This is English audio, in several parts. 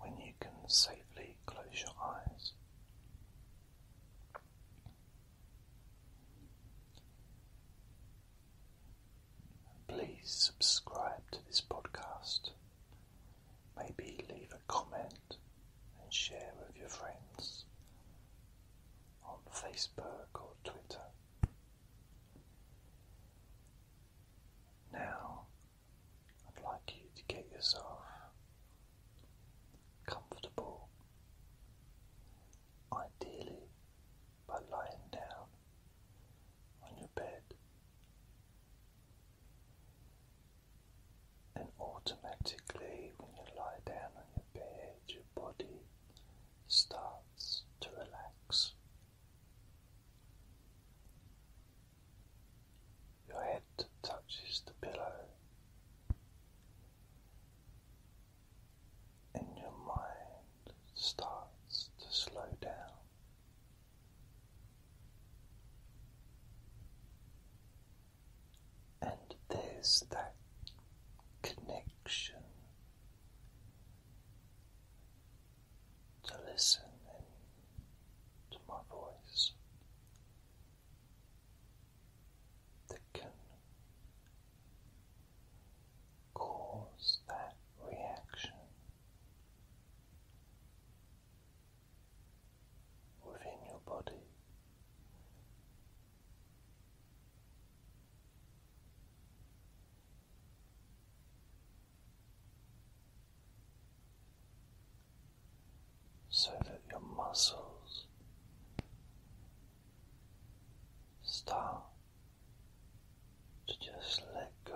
when you can safely close your eyes. Please subscribe to this podcast. Maybe leave a comment and share with your friends on Facebook or Twitter. Now I'd like you to get yourself comfortable, ideally by lying down on your bed. And automatically, when you lie down on your bed, your body starts to relax. Your head touches the pillow, and your mind starts to slow down. And there's that connection to listen to my voice that can cause that reaction within your body so that your muscles start to just let go.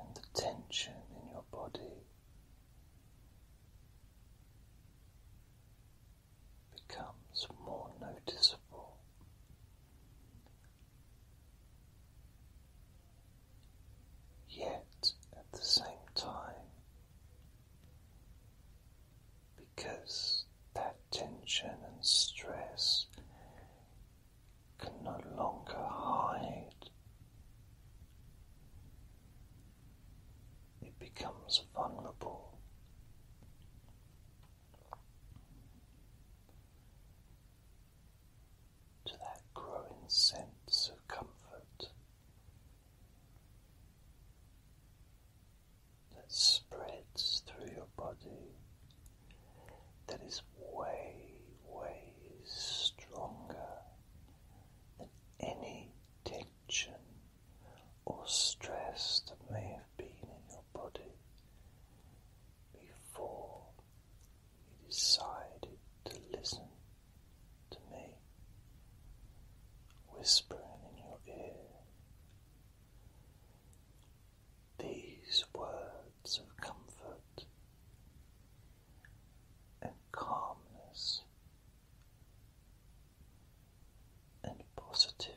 And the tension in your body becomes more noticeable. Yet at the same time, because that tension and stress can no longer hide, it becomes vulnerable. To that growing sense of comfort that spreads through your body, that is way, way stronger than any tingling or stress that may have been in your body before you decided to listen to me whispering in your ear. These words of comfort and calmness and positivity.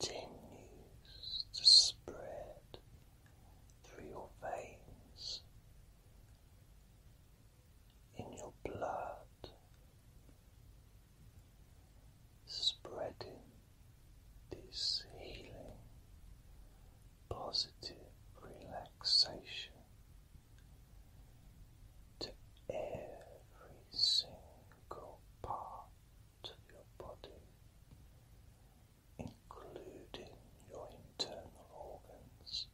Continues to spread through your veins, in your blood, spreading this healing positive relaxation to every single part of your body, including your internal organs,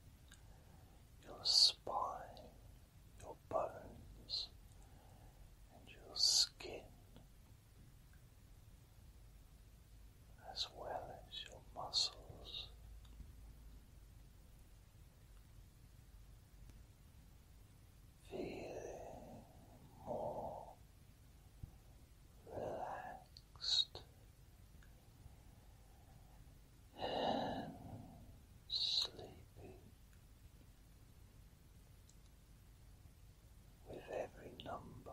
your spine, your bones, and your skin as well as your muscles. Feeling more relaxed and sleepy with every number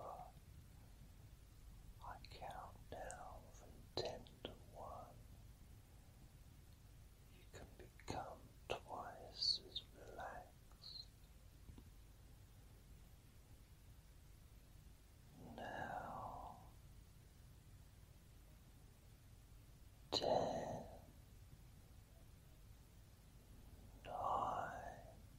I count now from ten to one. You can become twice as relaxed. Now, ten, nine,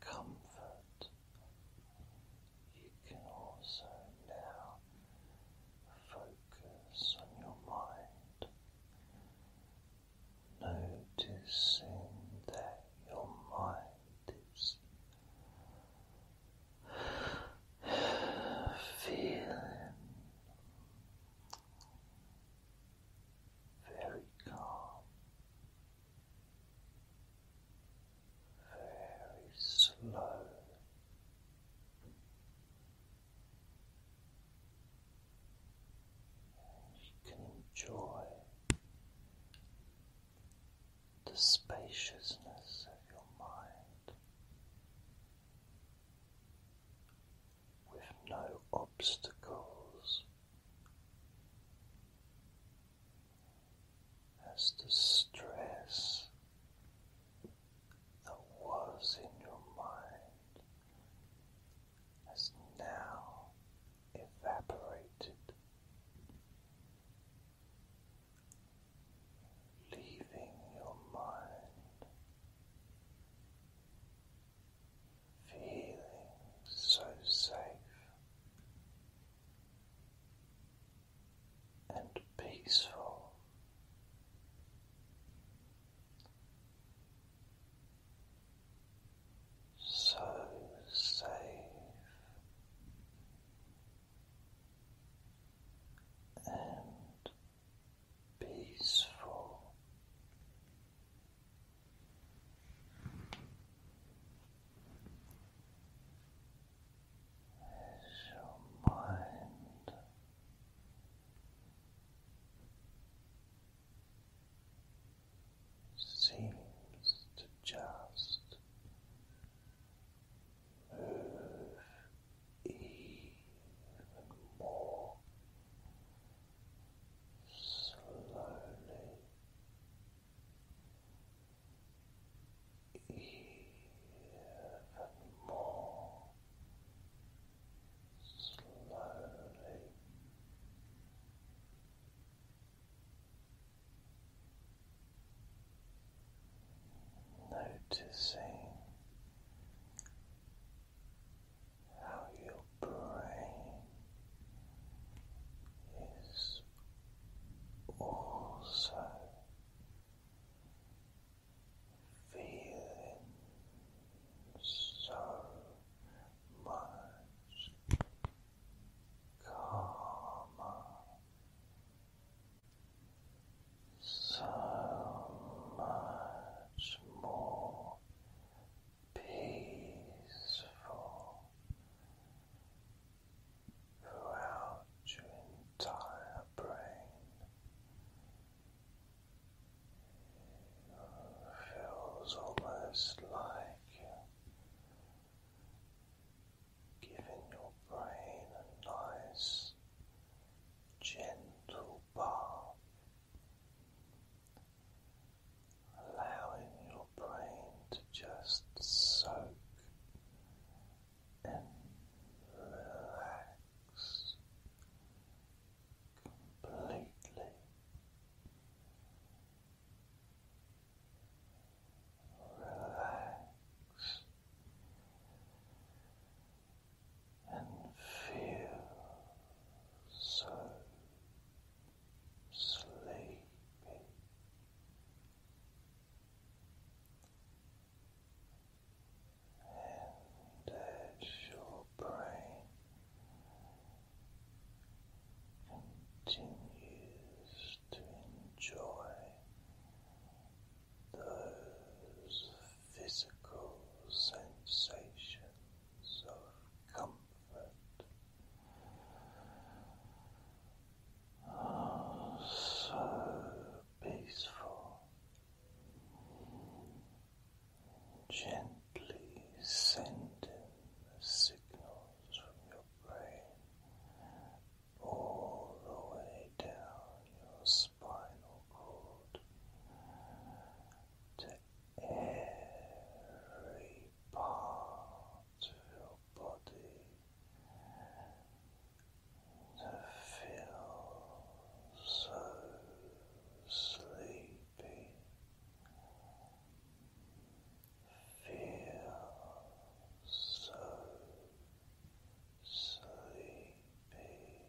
comfort. You can also now focus on your mind. Noticing that your mind is feeling very calm very slow. you can enjoy the spaciousness of your mind with no obstacles as the stress that was in your mind has now evaporated. Leaving your mind feeling so safe and peaceful. So safe and peaceful as your mind seems to just move even more slowly even more slowly. Noticing how your brain is also feeling so much calmer, so much more peaceful throughout your entire brain. feels almost like giving your brain a nice gentle bath allowing your brain to just soak and relax completely. Relax and feel so sleepy. And as your brain continues to enjoy those physical sensations of comfort. Oh, so peaceful, gently sending signals from your brain all the way down your spinal cord to every part to your body to feel so sleepy. Feel so sleepy. Feel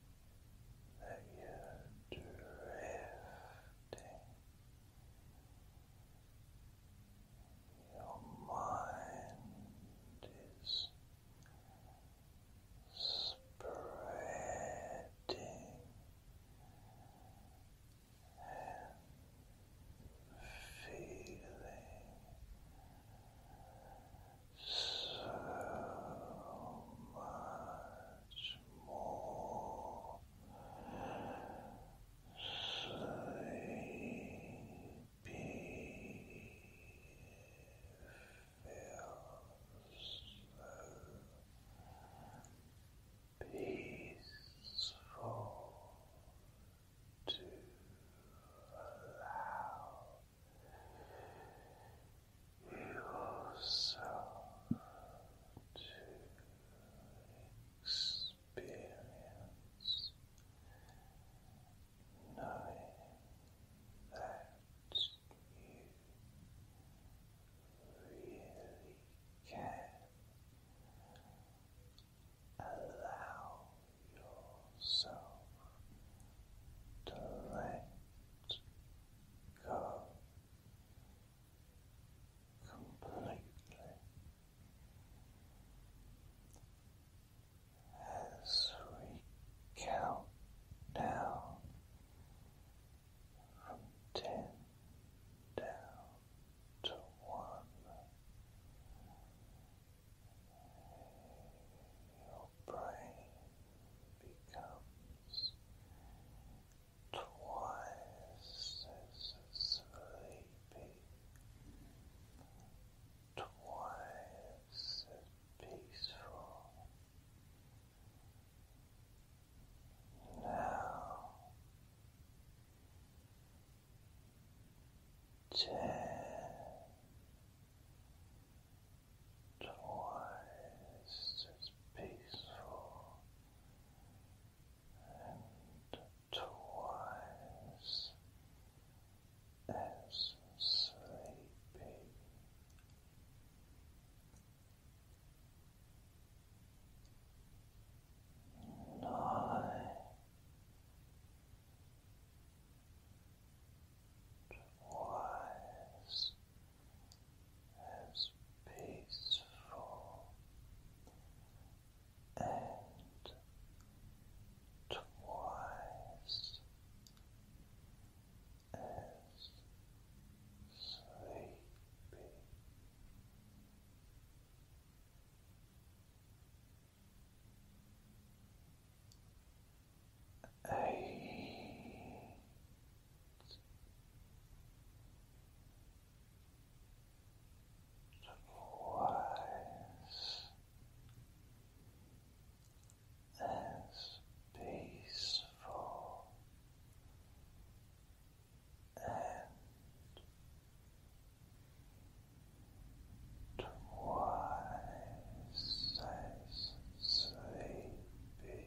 that you're drifting. Your mind is spreading and feeling so much more sleepy. Feels so peaceful to allow you also to experience knowing that you really can allow yourself to let go completely as we count down from ten down to one. Your brain becomes twice as sleepy, twice as peaceful. Now ten twice as peaceful and twice as sleepy. Nine, twice as peaceful and twice as sleepy. Twice as peaceful and twice as sleepy.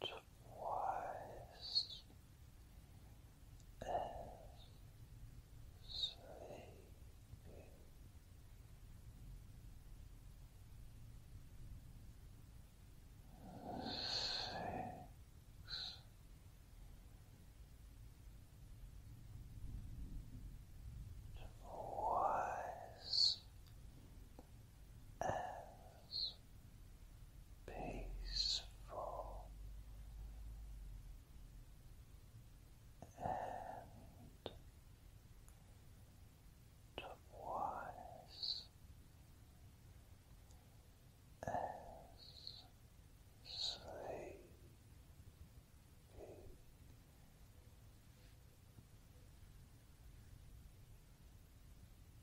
twice as sleepy. Six. Twice as peaceful and twice as sleepy.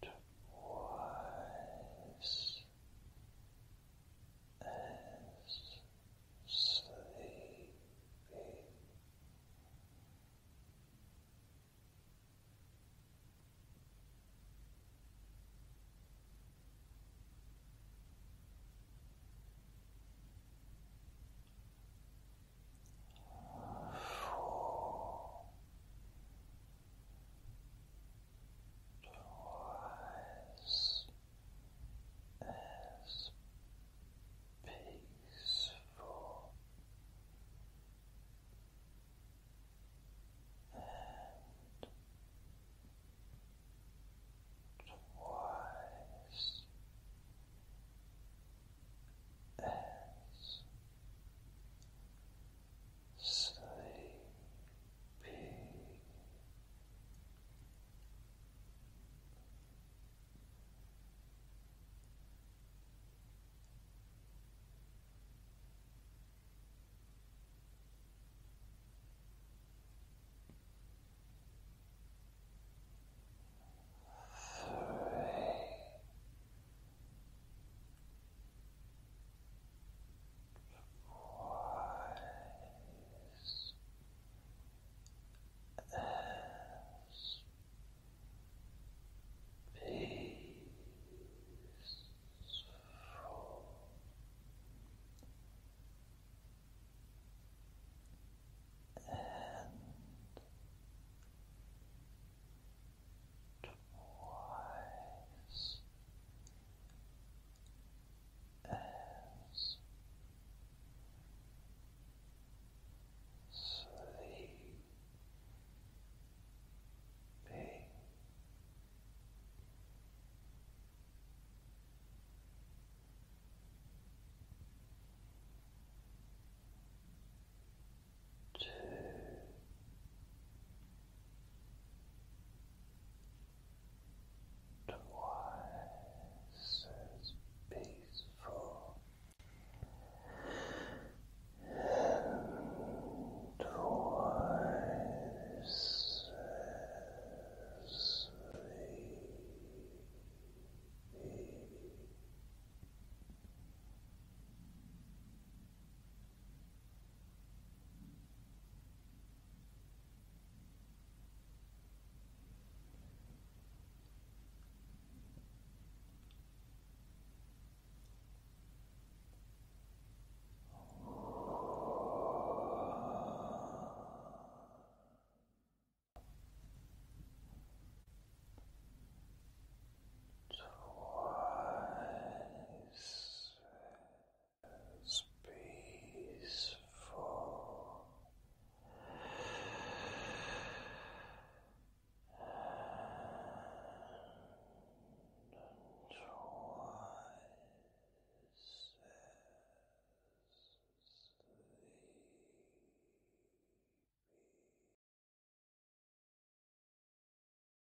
twice as sleepy. Four twice as peaceful and twice as sleepy. Three, wise as peaceful and twice as sleepy two, twice as peaceful and twice as Relax twice as peaceful and twice as sleepy.